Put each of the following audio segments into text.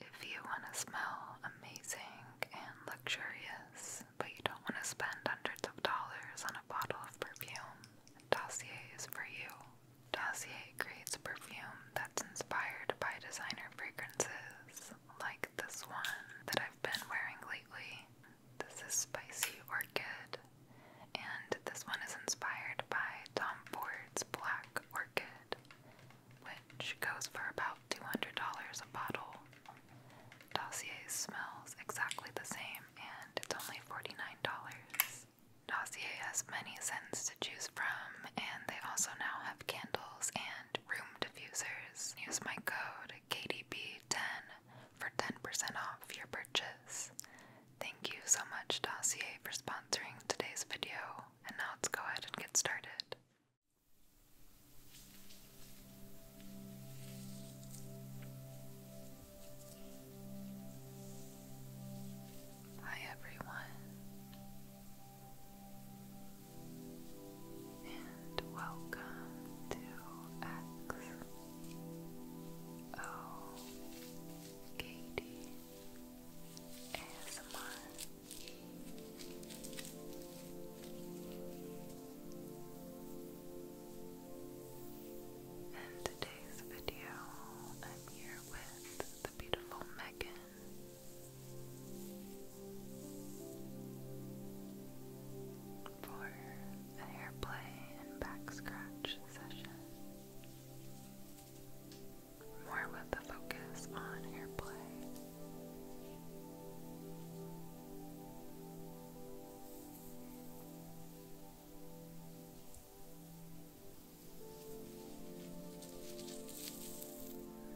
If you want to smell amazing and luxurious, but you don't want to spend hundreds of dollars on a bottle of perfume, Dossier is for you. Dossier creates perfume that's inspired by designer fragrances like this one that I've been wearing lately. This is Spicy Orchid, and this one is inspired by Tom Ford's Black Orchid which goes for about $200 a bottle. Dossier smells exactly the same and it's only $49. Dossier has many scents to choose from and they also now have candles and room diffusers. Use my code KDB10 for 10% off your purchase. Thank you so much Dossier for sponsoring today's video and now let's go ahead and get started. Hi, everyone, and welcome to X O in today's video, I'm here with the beautiful Megan. For a hair and back scratch session more with the focus on airplay.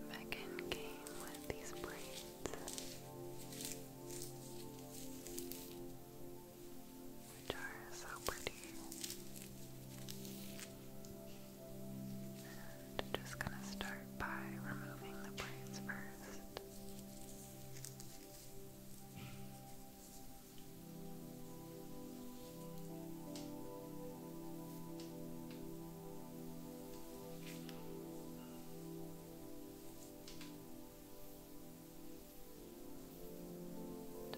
Megan came with these braids, which are so pretty. I'm just going to start by removing the braids first.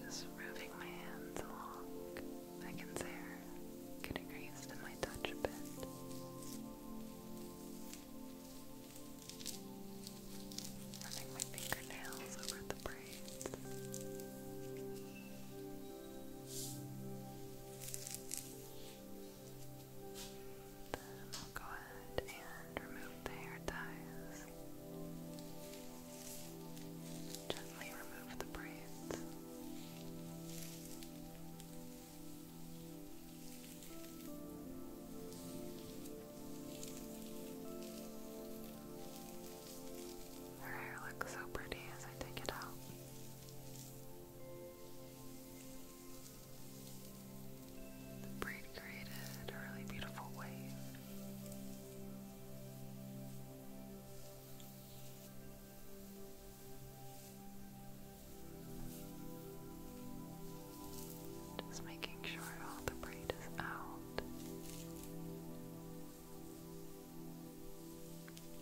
Just moving my hands along. I can getting used to my touch a bit. Running my fingernails over the braids. I'll go ahead and remove the hair ties. Gently remove the braids. Her hair looks so pretty as I take it out. The braid created a really beautiful wave. Just making sure all the braid is out.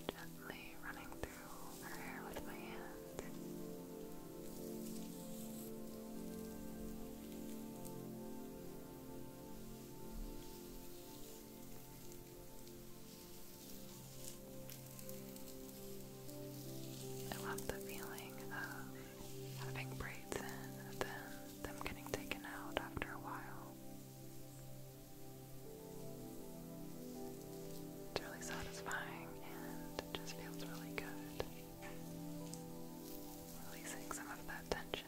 Gently running through her hair with my hand. I love the feeling of having braids in then them getting taken out after a while. It's really satisfying and it just feels really good. Releasing some of that tension.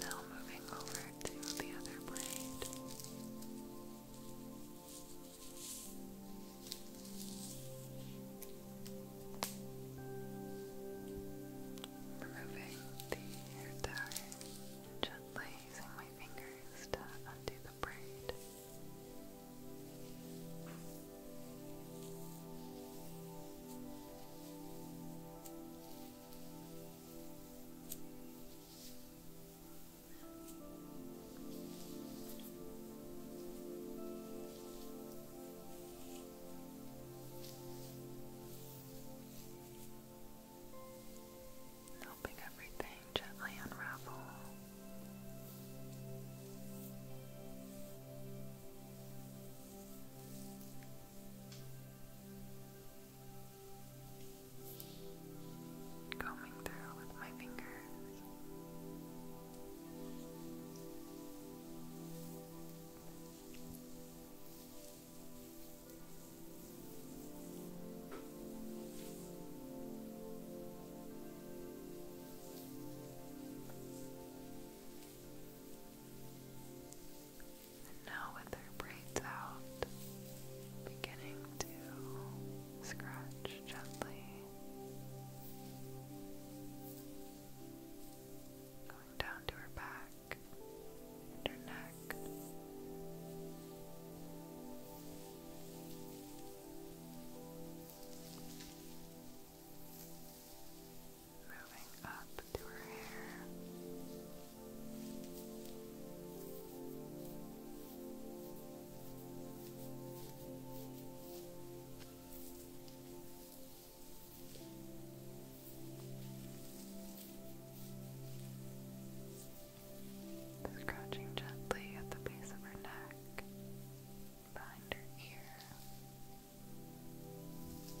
Now moving over to the other blade removing the hair tie gently using my fingers to undo the braid helping everything gently unravel. Combing through with my fingers. And now, with her braids out, beginning to scratch gently, going down to her back neck, and her neck. Moving up to her hair. Scratching gently at the base of her neck, behind her ear. Just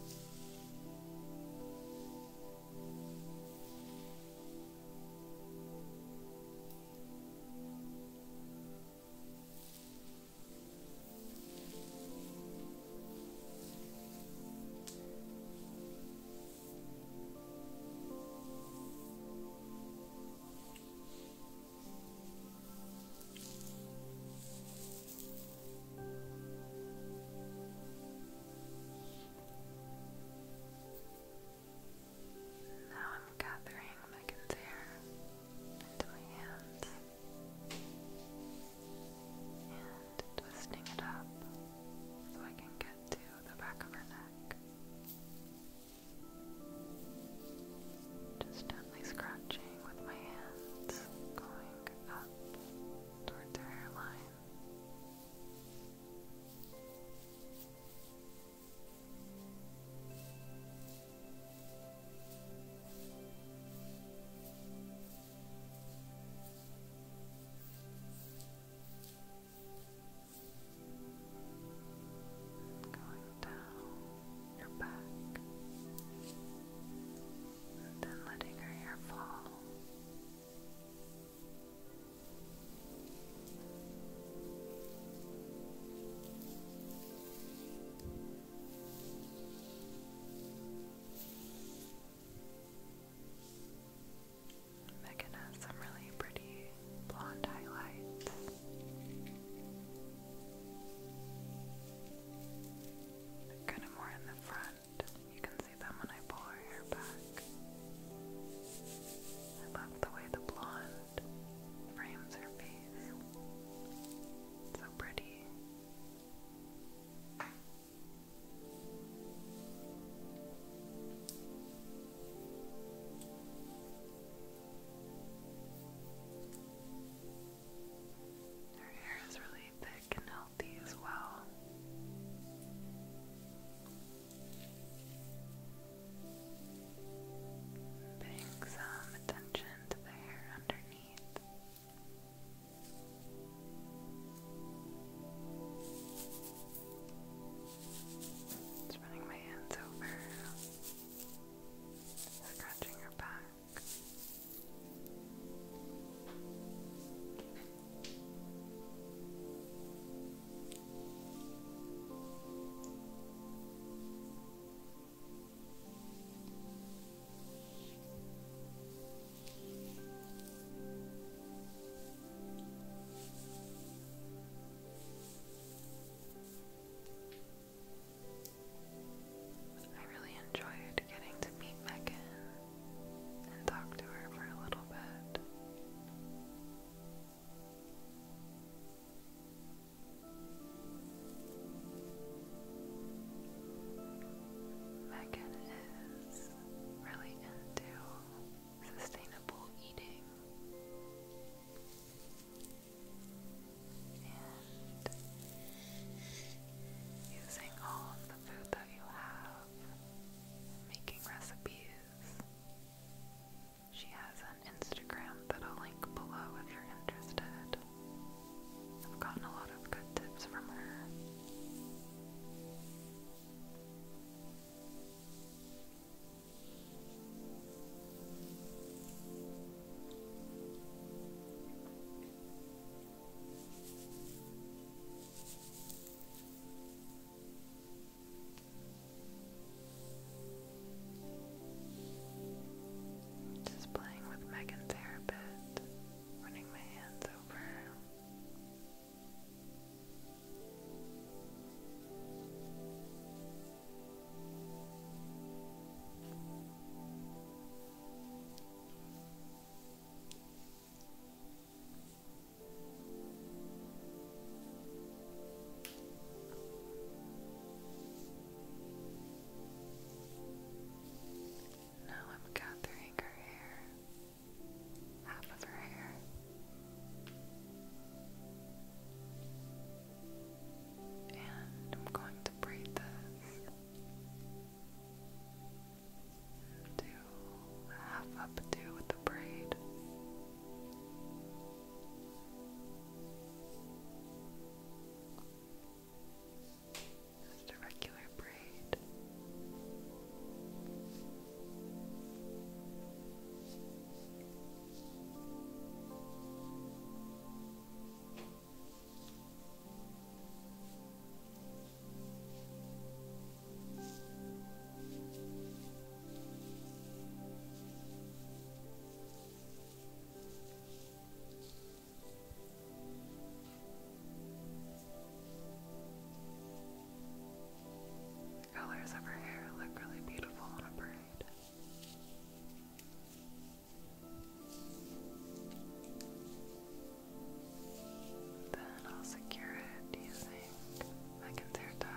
now I'm gathering Megan's hair into my hands and twisting it up so I can get to the back of her neck. Just gently scratching with my hands, going up towards her hairline. Going down your back and then letting her hair fall. Down Megan has some really pretty blonde highlights. Kind of more in the front. You can see them when I pull her hair back. I love the way the blonde frames her face. so pretty. Her hair is really thick and healthy as well. Paying some attention to the hair underneath. Just running my hands over, scratching her back. I really enjoyed getting to meet Megan and talk to her for a little bit. Megan is really into sustainable eating and using all the food that you have, making recipes. She has an Instagram that I'll link below if you're interested. I've gotten a lot of good tips from her. Just playing with Megan's hair a bit, running my hands over now I'm gathering her hair half of her hair. And I'm going to braid this to half up with the braid. Just a regular braid. Now the colors of her hair look really beautiful on a braid. Then I'll secure it using my concealer tie.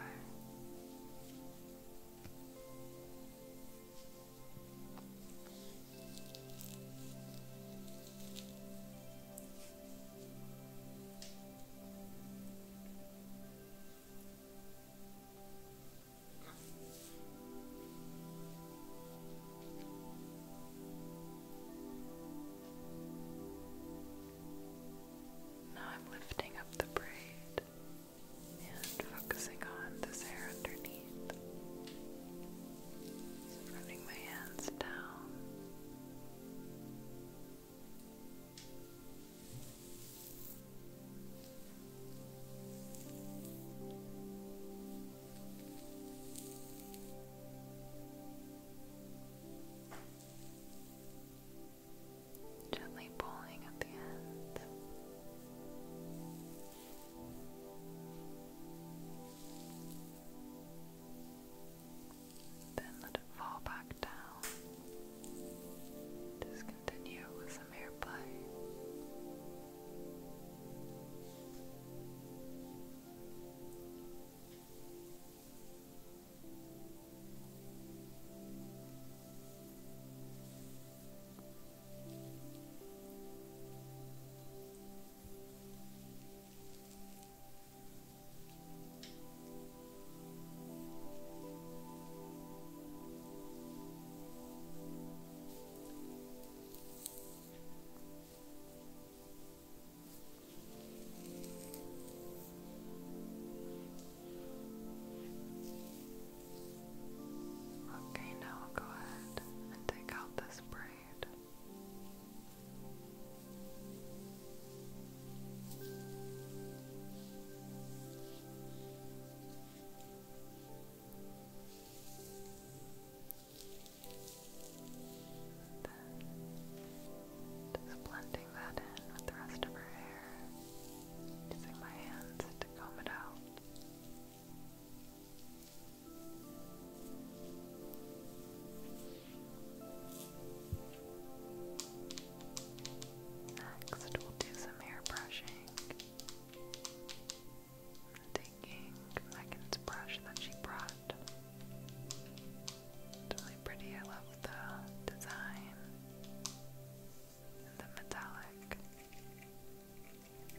Now I'm lifting up the braid and focusing on this hair underneath. running my hands down Gently pulling at the end. Then let it fall back down. Just with some airplay. Okay, now go ahead and take out this braid. Then just blending that in with the rest of her hair, using my hands to comb it out. Next, we'll do some hair i taking Megan's brush that she brought. It's really pretty. I love the design and the metallic.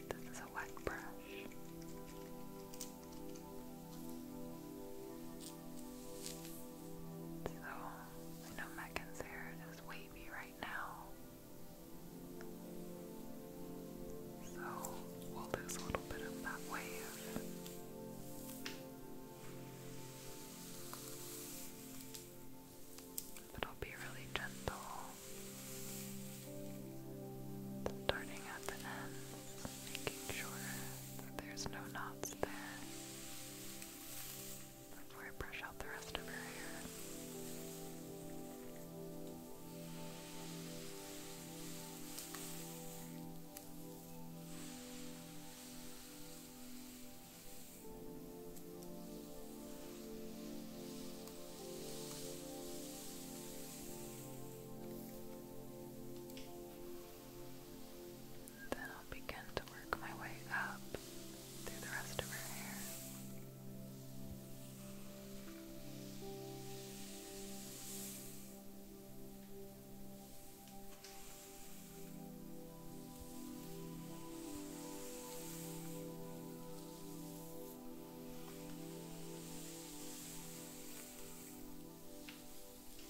This is a wet brush. So, I know Meccan's hair is wavy right now. So, we'll lose a little bit of that wave. But I'll be really gentle, starting at the ends, making sure there's no knots there. Before I brush out the rest of her hair. Then I'll begin to work my way up through the rest of her hair.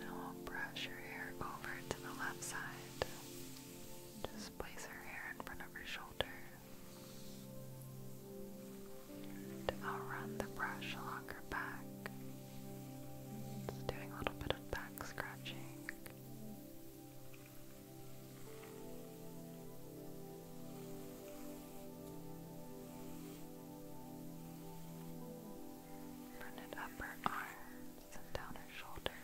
Now I'll brush your hair over to the left side. Just place her hair in front of her shoulder. And I'll run the brush along her back. It's doing a little bit of back scratching. up her arms and down her shoulders.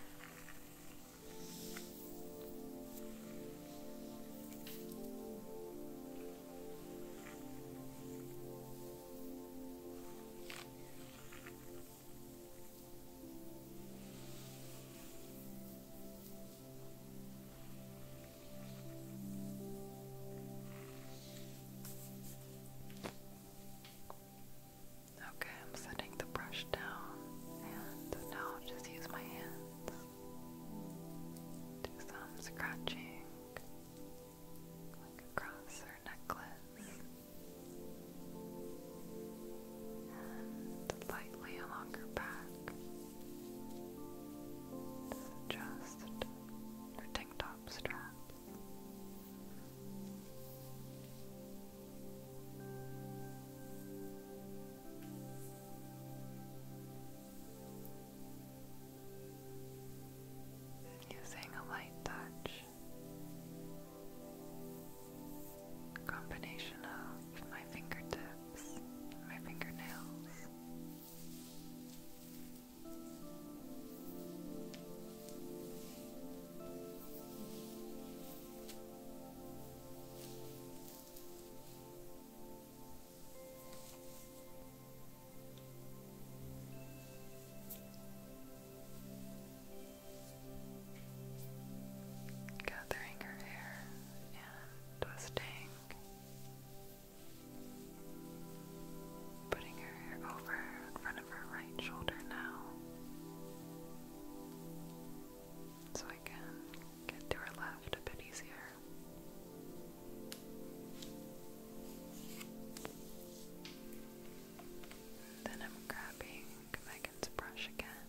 Okay, I'm setting the brush down and now I'll just use my hands. Do some scratching across her necklace and lightly along her back. Just her tank top straps using a light touch combination of my fingertips, my fingernails. Gathering her hair and twisting, putting her hair over in front of her right shoulder now, so I can get to her left a bit easier. Then I'm grabbing Megan's brush again.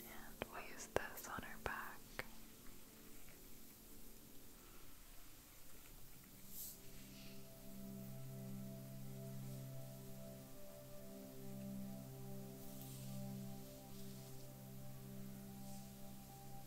And we'll use this on her back.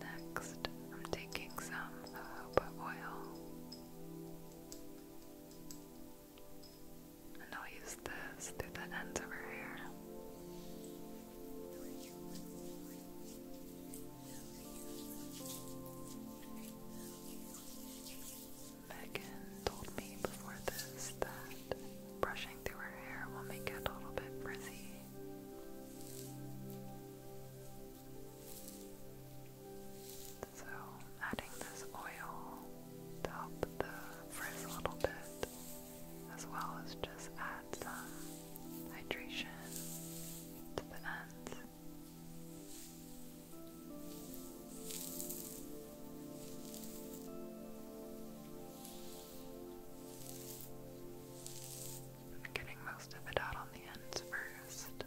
Next, I'm taking some uh, jojoba oil and I'll use this through the ends of her hair. Megan told me before this that brushing through her hair will make it a little bit frizzy. So, adding this oil to help the frizz a little bit, as well as just add some hydration to the ends. getting most of it out on the ends first.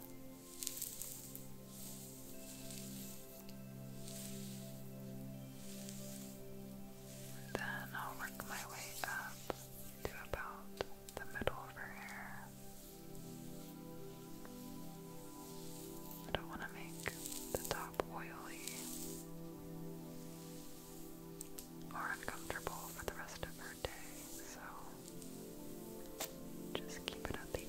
Then I'll work my way up to about the middle of her hair. I don't want to make the top oily or uncomfortable for the rest of her day, so just keep it at the end.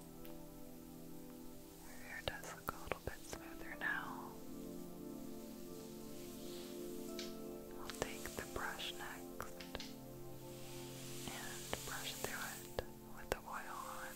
Your hair does look a little bit smoother now. I'll take the brush next and brush through it with the oil on.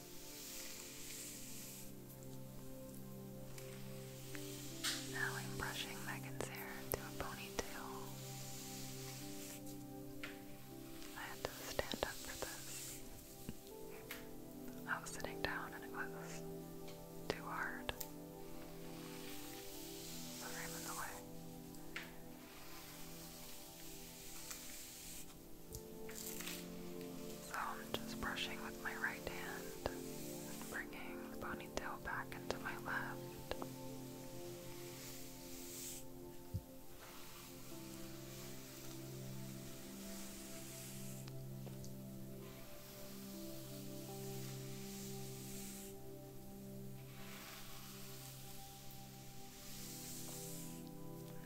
Now I'm brushing Megan's hair into a ponytail. I had to stand up for this. I was sitting down and it was too hard. Sorry, i in the way. So I'm just brushing with my right hand and bringing the ponytail back into my left.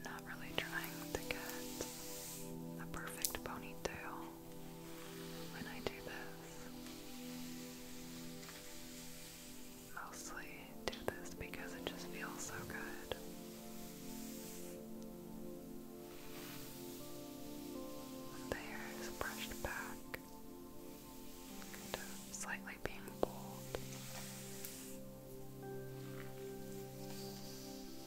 not really trying to get a perfect ponytail when I do this. Mostly do this because it just feels so good. the hair is brushed back, kind slightly being pulled.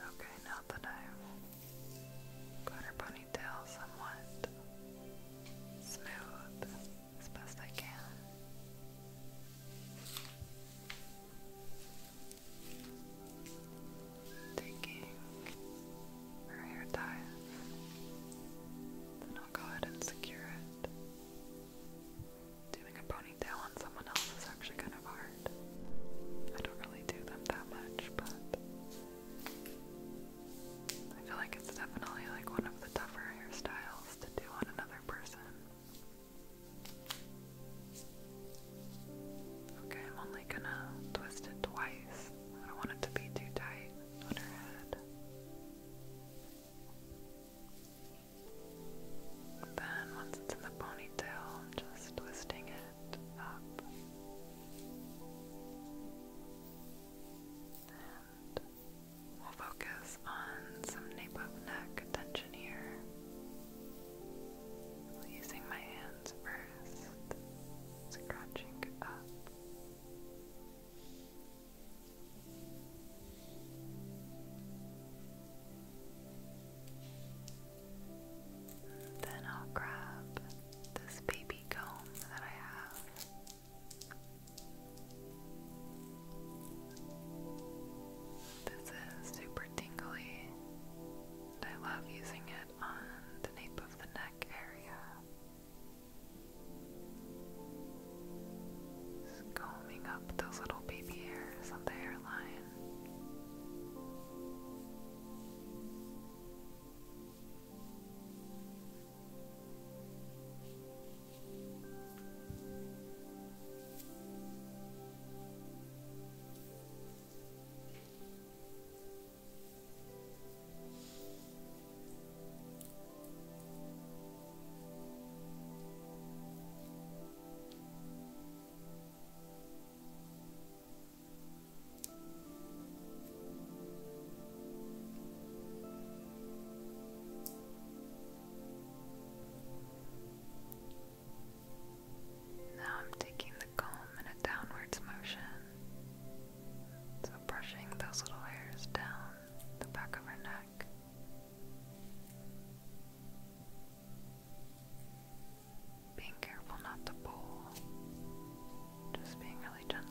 Okay, now that I've got her ponytail somewhat smooth as best I can. Taking her hair ties, then I'll go ahead and secure it Doing a ponytail on someone else is actually kind of hard. I don't really do them that much, but I feel like it's definitely like one of the tougher hairstyles to do on another person. Okay, I'm only gonna twist it twice. I don't want it to be too tight on her head. Then, once it's in the ponytail, I'm just twisting it up and we'll focus on some nape of neck attention here. Using my hands first, scratching up. Then I'll grab this baby comb that I have. This is super tingly, and I love using it on the nape of the neck area combing up those little baby hairs on the hairline. Now I'm taking the comb in a downwards motion, so brushing those little hairs down the back of her neck. Being careful not to pull, just being really gentle.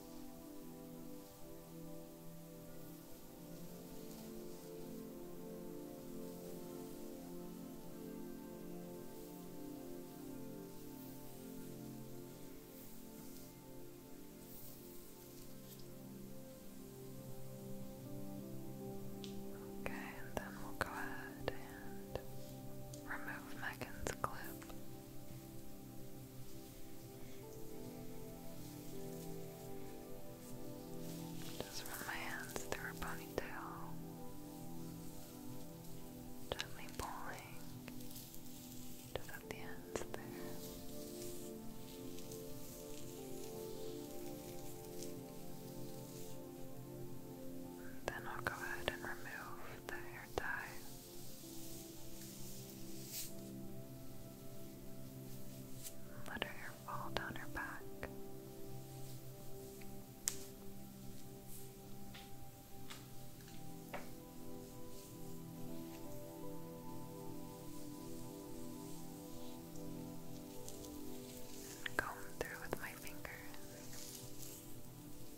Okay, and then we'll go ahead and remove Megan's clip. Just run my hands through her ponytail, gently pulling just at the ends there. then I'll go ahead and remove the hair ties. Let her hair fall down her back. And through with my fingers.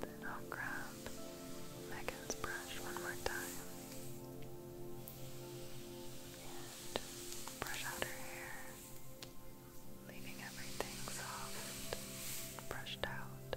Then I'll grab Megan's brush one more time and brush out her hair, leaving everything soft, brushed out.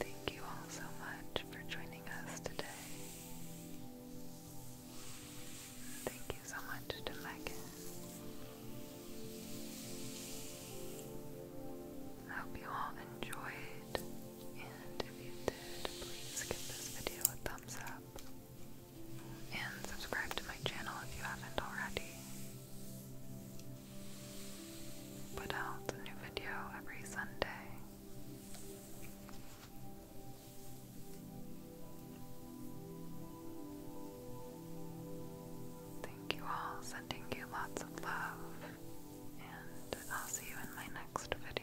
Thank you all so much for joining us today. Thank you so much to Megan. I hope you all enjoyed, and if you did, please give this video a thumbs up and subscribe to my channel if you haven't already. Put out a new video every Sunday. Thank you all, sending you lots of love, and I'll see you in my next video.